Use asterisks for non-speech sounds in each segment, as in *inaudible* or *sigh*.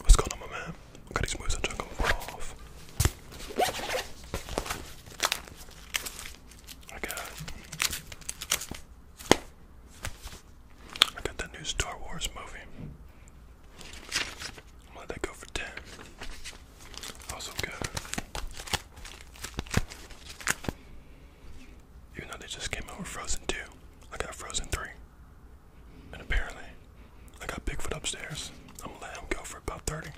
What's going on, my man? i got these moves I'm trying to off. I got. I got that new Star Wars movie. I'm gonna let that go for 10. Also good. Even though they just came out with Frozen 2, I got Frozen 3. And apparently, I got Bigfoot upstairs. I'm gonna let him go for about 30.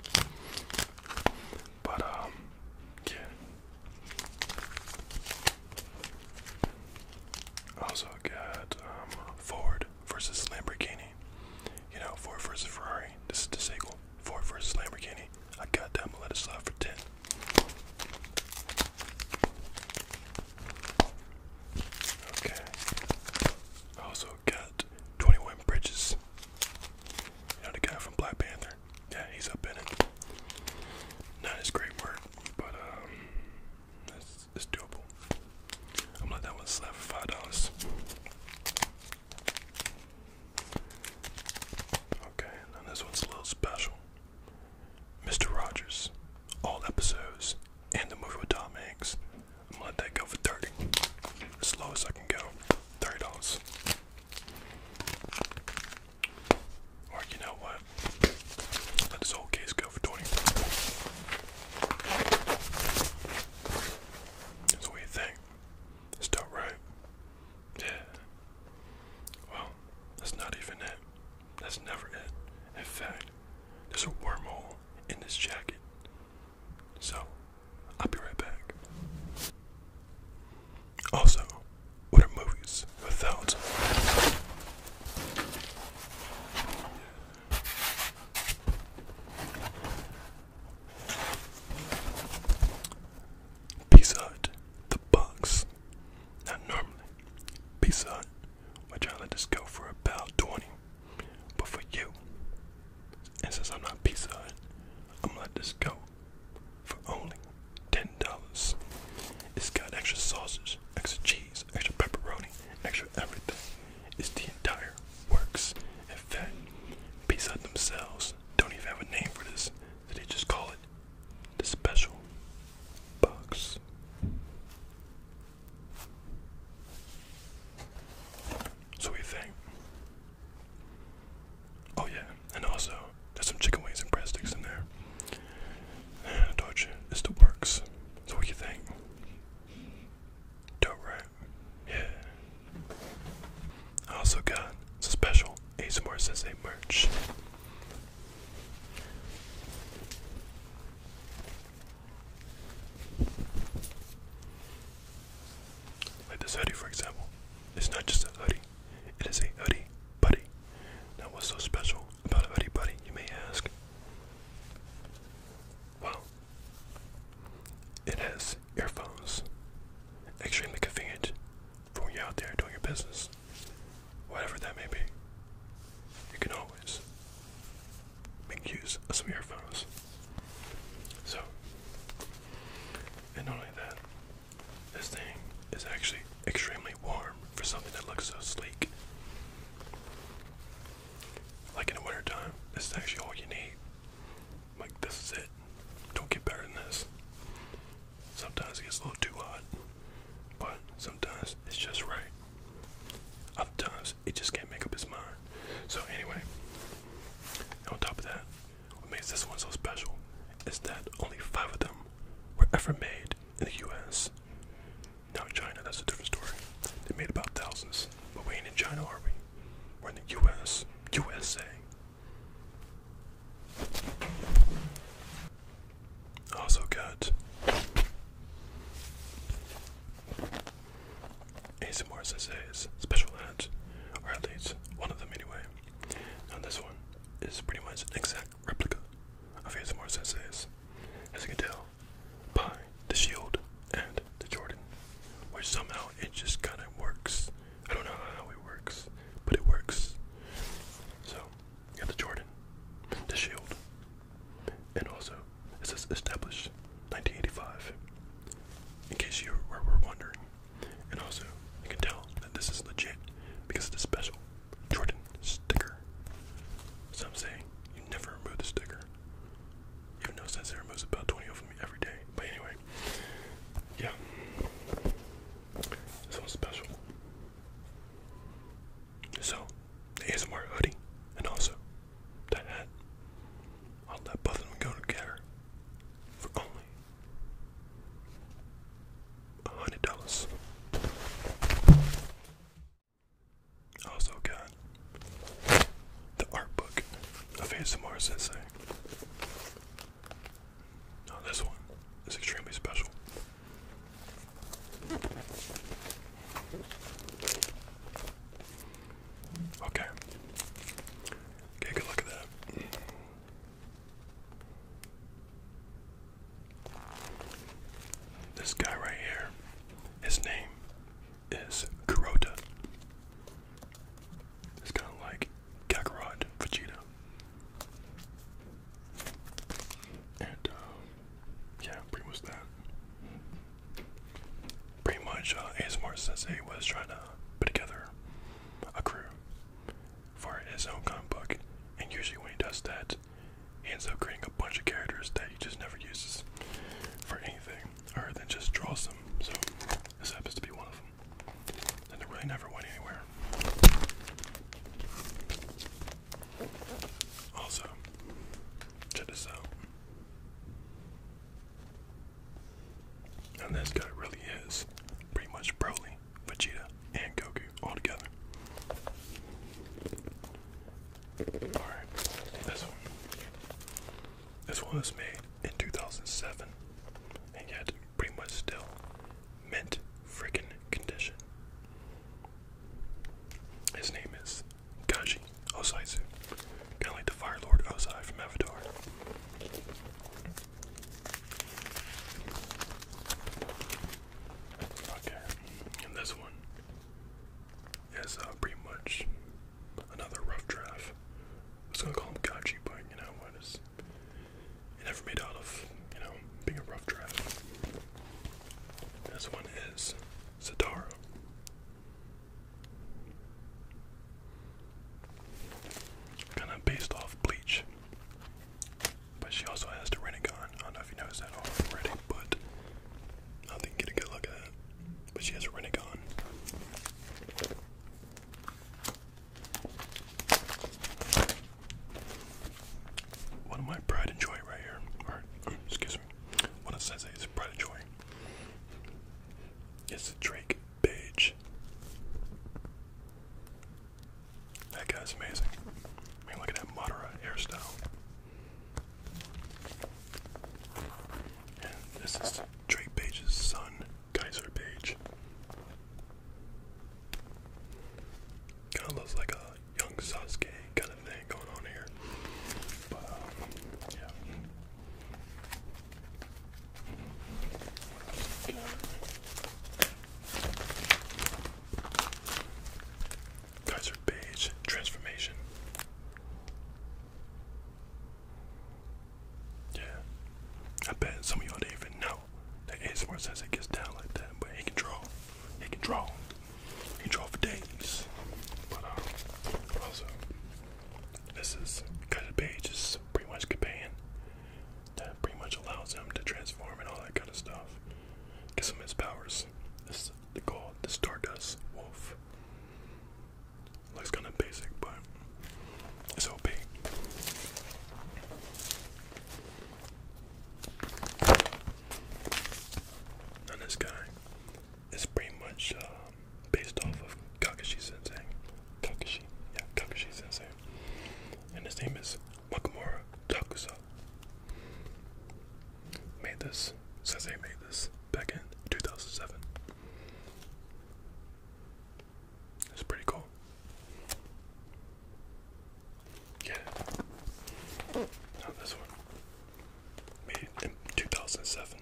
But, um, yeah. Also got um, Ford versus Lamborghini. You know, Ford versus Ferrari. This is the sequel. Ford versus Lamborghini. I got that. let it slide for ten. Okay. I also got 21 Bridges. You guy from Black Panther? Yeah, he's up in it. Not his great work, but um, it's, doable. I'm going that one slap for five dollars. Okay, and then this one's a little special. Mr. Rogers, all episodes, and the movie with Tom Hanks. I'm gonna let that go for 30. As low as I can go. $30. Or you know what? Let this whole case go for 20. So what do you it's not right. Yeah. Well, that's not even it. That's never it. In fact, there's a wormhole in this jacket. So, I'll be right back. Also, what are movies without? Pizza Hut, the bucks. Now normally, Pizza Hut would try to let this go for about 20. But for you, and since I'm not Pizza Hut, I'm gonna let this go for only $10. It's got extra sausage, extra cheese, extra pepperoni, extra everything is the entire works. In fact, Pizza Hut themselves don't even have a name for this, they just call it the special box. So what you think? Oh yeah, and also there's some chicken wings and breadsticks in there. And *sighs* it's the works. So what you think? Dope, right? Yeah. I also got some special ASMR Sensei merch. Like this hoodie, for example. It's not just a hoodie, it is a hoodie buddy. Now, what's so special about a hoodie buddy, you may ask? Well, it has earphones. Extremely convenient for when you're out there doing your business, whatever that may be. You can always make use of some earphones. So, and not only that, this thing is actually extremely warm for something that looks so sleek. Like in the wintertime, this is actually all you need like this is it. Don't get better than this. Sometimes it gets a little too hot, but sometimes it's just right. Other times it just can't make up its mind. So anyway, on top of that, what makes this one so special is that only five of them were ever made in the U.S. Now China, that's a different story. They made about thousands, but we ain't in China, are we? When the US, USA. Also got Asimov's Sensei's special hat, or at least one of them anyway. Now this one is pretty much an exact replica of Asimov's Sensei's. As you can tell, by the Shield and the Jordan, which somehow it just kind of works. I don't know how it works, but it works. So, you have the Jordan, the Shield, and also it says established 1985, in case you were, were wondering. And also, you can tell that this is legit because of the special Jordan sticker. Some say you never remove the sticker. Even though Sensei removes about 20 of them every day. But anyway, yeah. This one's special. So, ASMR hoodie, and also the hat. I'll let both go together for only $100. Also got the art book of ASMR Sensei. Now this one is extremely special. Okay. Take a look at that. This guy right here, his name is Kurota. It's kind of like Kakarot, Vegeta. And, um, yeah, pretty much that. Pretty much, uh, ASMR Sensei was trying to put together a crew for his own comic book, and usually when he does that, he ends up creating a bunch of characters that he just never uses for anything, or then just draws them. So this happens to be one of them. And it really never went anywhere. Also, check this out. And this guy really is pretty much Broly, Vegeta, and Goku all together. Alright, this one. This one was made in 2007 and yet pretty much still mint freaking condition. His name is Kaji Osaizu, kind the Fire Lord Osai from Avatar. Okay, this one is uh, pretty much another rough draft. I was gonna call him Gachi, but you know what is it never made out of, you know, being a rough draft. This one is Satara. Kinda based off Bleach. But she also has the Renegon. I don't know if you noticed that already, but I think get a good look at But she has a renegade. One of my pride and joy right here. Mm, excuse me. One of Sensei's is pride and joy. It's Drake Page. That guy's amazing. I mean, look at that Madara hairstyle this is Drake Page's son, Kaiser Page. Kinda looks like a young Sasuke kind of thing going on here. Um, Kaiser Page transformation. Yeah. I bet some of y'all didn't even know that ASMR says it gets down like that, but he can draw. He can draw. He can draw for days. But um, also, this is Kaiser Page is pretty much Kapan. That pretty much allows him to transform and all that kind of stuff. Gives him his powers. This is called the Stardust Wolf. Looks kind of basic, but it's OP. And this guy is pretty much uh, based off of Kakashi Sensei. Kakashi, yeah, Kakashi Sensei. And his name is Wakamura Takusa made this, Says they made this back in 2007. It's pretty cool. Yeah. Not this one. Made in 2007.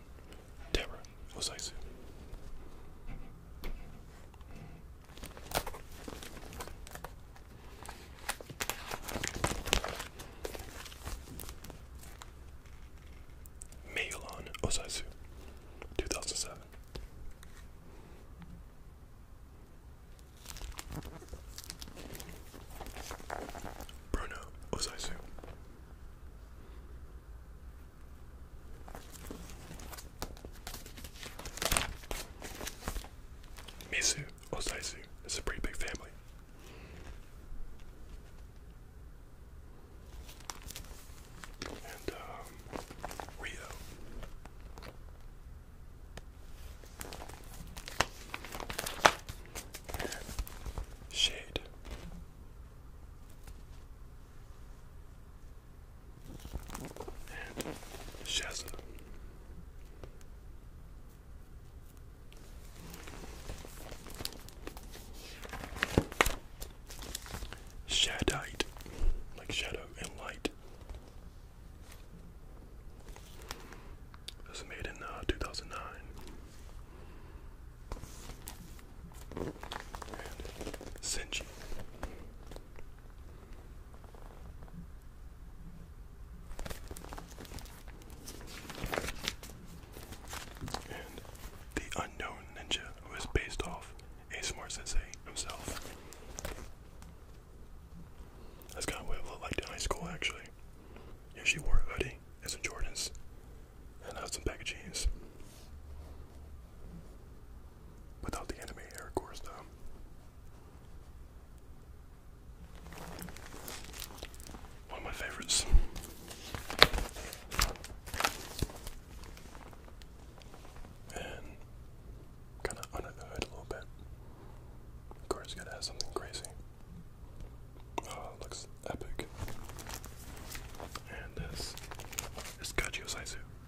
Deborah was icy. Meilan Osasu, 2007. Bruno Osasu. Mizu Osaizu is a pretty big family and um, Rio. And shade. And Shazza. Shadite, like shadow and light. This was made in uh, 2009. And Senji. And the unknown ninja who is based off ASMR Sensei himself. That's kind of what I looked like in high school actually. Yeah, she wore a hoodie and some Jordans. And I had some bag jeans. Without the anime hair, of course, though. One of my favorites. And kind of under the hood a little bit. Of course, gotta have something crazy. Oh, looks epic. And this is Kaji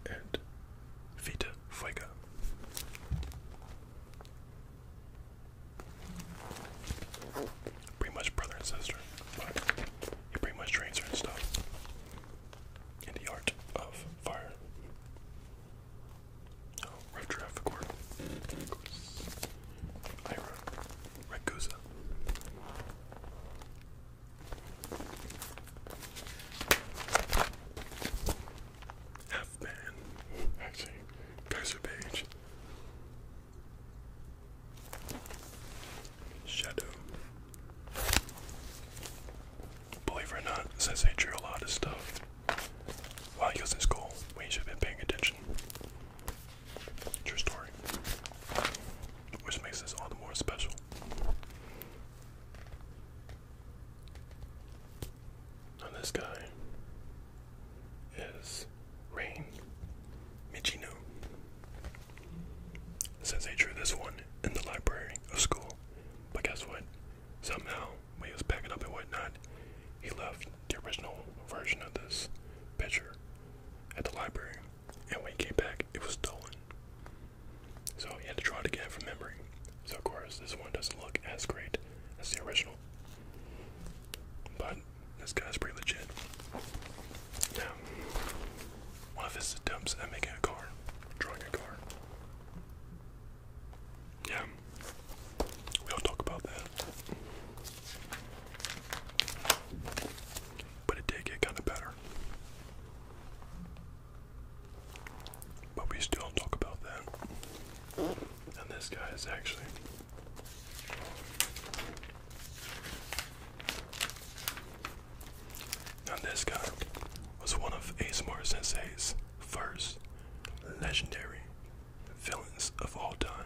and Vita Fuega. Pretty much brother and sister, but he pretty much trains her and stuff. In the art of fire. Oh, rough draft, Of course. Ira. Ragusa. F-Man. Kaiser Page. Shadow. Believe it or not, since they drew a lot of stuff while he was in school, we should have been paying attention. True story. Which makes this all the more special. And this guy is Rain Michino. Since they drew this one in the library of school, but guess what? Somehow, when he was packing up and whatnot, he left the original version of this picture at the library, and when he came back, it was stolen. So he had to draw it again from memory. So of course this one doesn't look as great as the original. But this guy's pretty legit. Now, one of his attempts at making a car, drawing a car. Yeah, we don't talk about that. But it did get kind of better. But we still talk about that. And this guy is actually. Now, this guy was one of ASMR Sensei's first legendary villains of all time.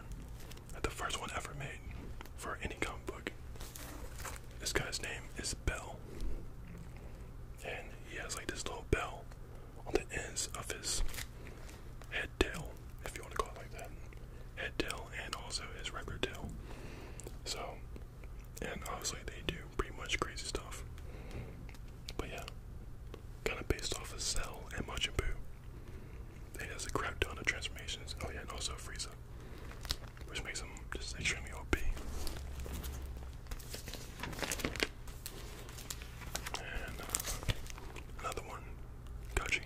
The first one ever made for any comic book. This guy's name is Bell. And he has like this little bell on the ends of his head tail, if you want to call it like that. Head tail and also his regular tail. So, and obviously they do pretty much crazy stuff. But yeah, kind of based off of Cell and Machin Buu. It has a crap ton of transformations. Oh yeah, and also Frieza, which makes him just extremely OP. And uh, another one, Gachi.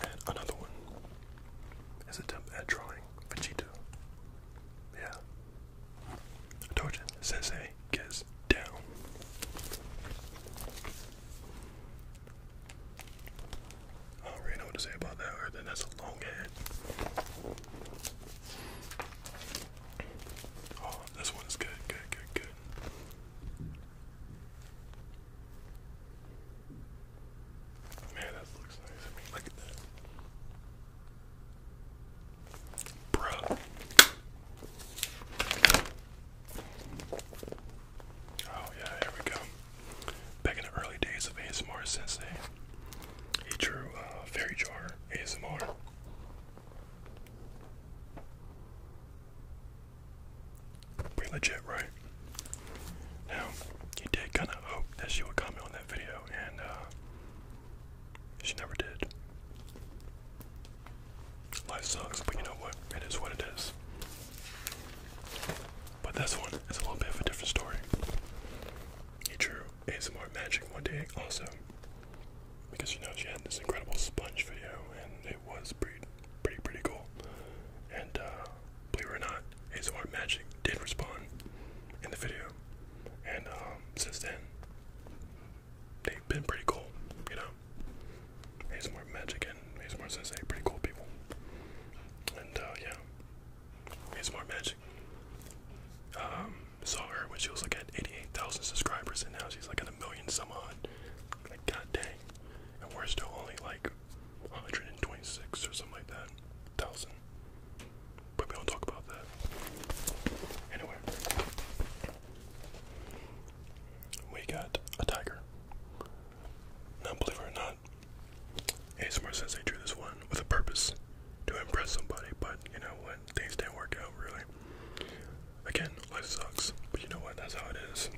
And another one is attempt at drawing Vegeta. Yeah. Dojin Sensei gets down. I don't really know what to say about that other than that's a long head. Oh, this one good, good, good, good. Man, that looks nice. look at that. Bruh. Oh yeah, here we go. Back in the early days of ASMR Sensei, he drew uh, fairy jar ASMR. Pretty legit, right? Now, he did kind of hope that she would comment on that video, and uh, she never did. Life sucks, but you know what? It is what it is. But this one is a little bit of a different story. He drew ASMR magic one day also. Because you know she had this incredible sponge video and it was pretty pretty pretty cool. And uh believe it or not, ASMR magic did respond in the video. And um since then they've been pretty cool, you know. He's more Magic and he's ASMR Sensei, pretty cool people. And uh, yeah, ASMR Magic. Um, saw her when she was like at 88,000 subscribers, and now she's like at a million some odd. Like, god dang. And we're still only like 126 or something like that. Thousand. But we not talk about that. Anyway. We got a tiger. Now, believe it or not, ASMR says I drew this one with a purpose to impress somebody, but you know what? Things didn't work out really. Again, life sucks, but you know what? That's how it is.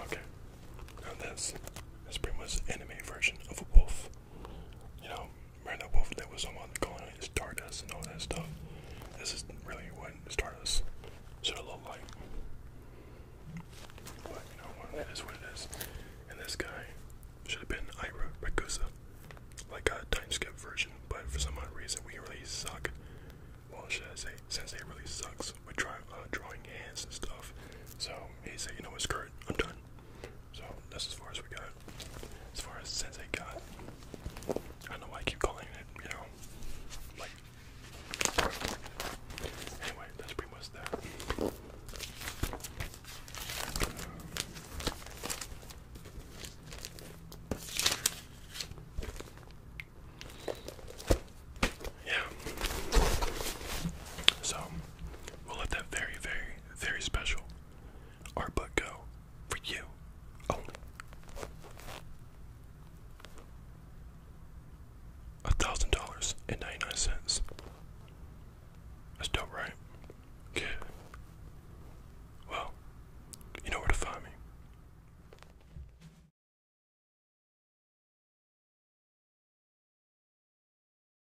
Okay, now this is pretty much anime version of a wolf. You know, Remember that Wolf that was someone calling it Stardust and all that stuff? This is really what Stardust should have looked like. But you know what? That is what it is. And this guy should have been Ira Rakusa. Like a time skip version, but for some odd reason we really suck. Well, should I say, Sensei really sucks with drawing, uh, drawing hands and stuff. So he said, you know what, skirt, I'm done. So that's as far as we got. As far as Sensei got. I don't know why I keep calling it, you know. anyway, that's pretty much that. yeah. So we'll let that very, very, very special our but go for you only. A thousand dollars and ninety nine cents. That's dope, right? Good. Well, you know where to find me.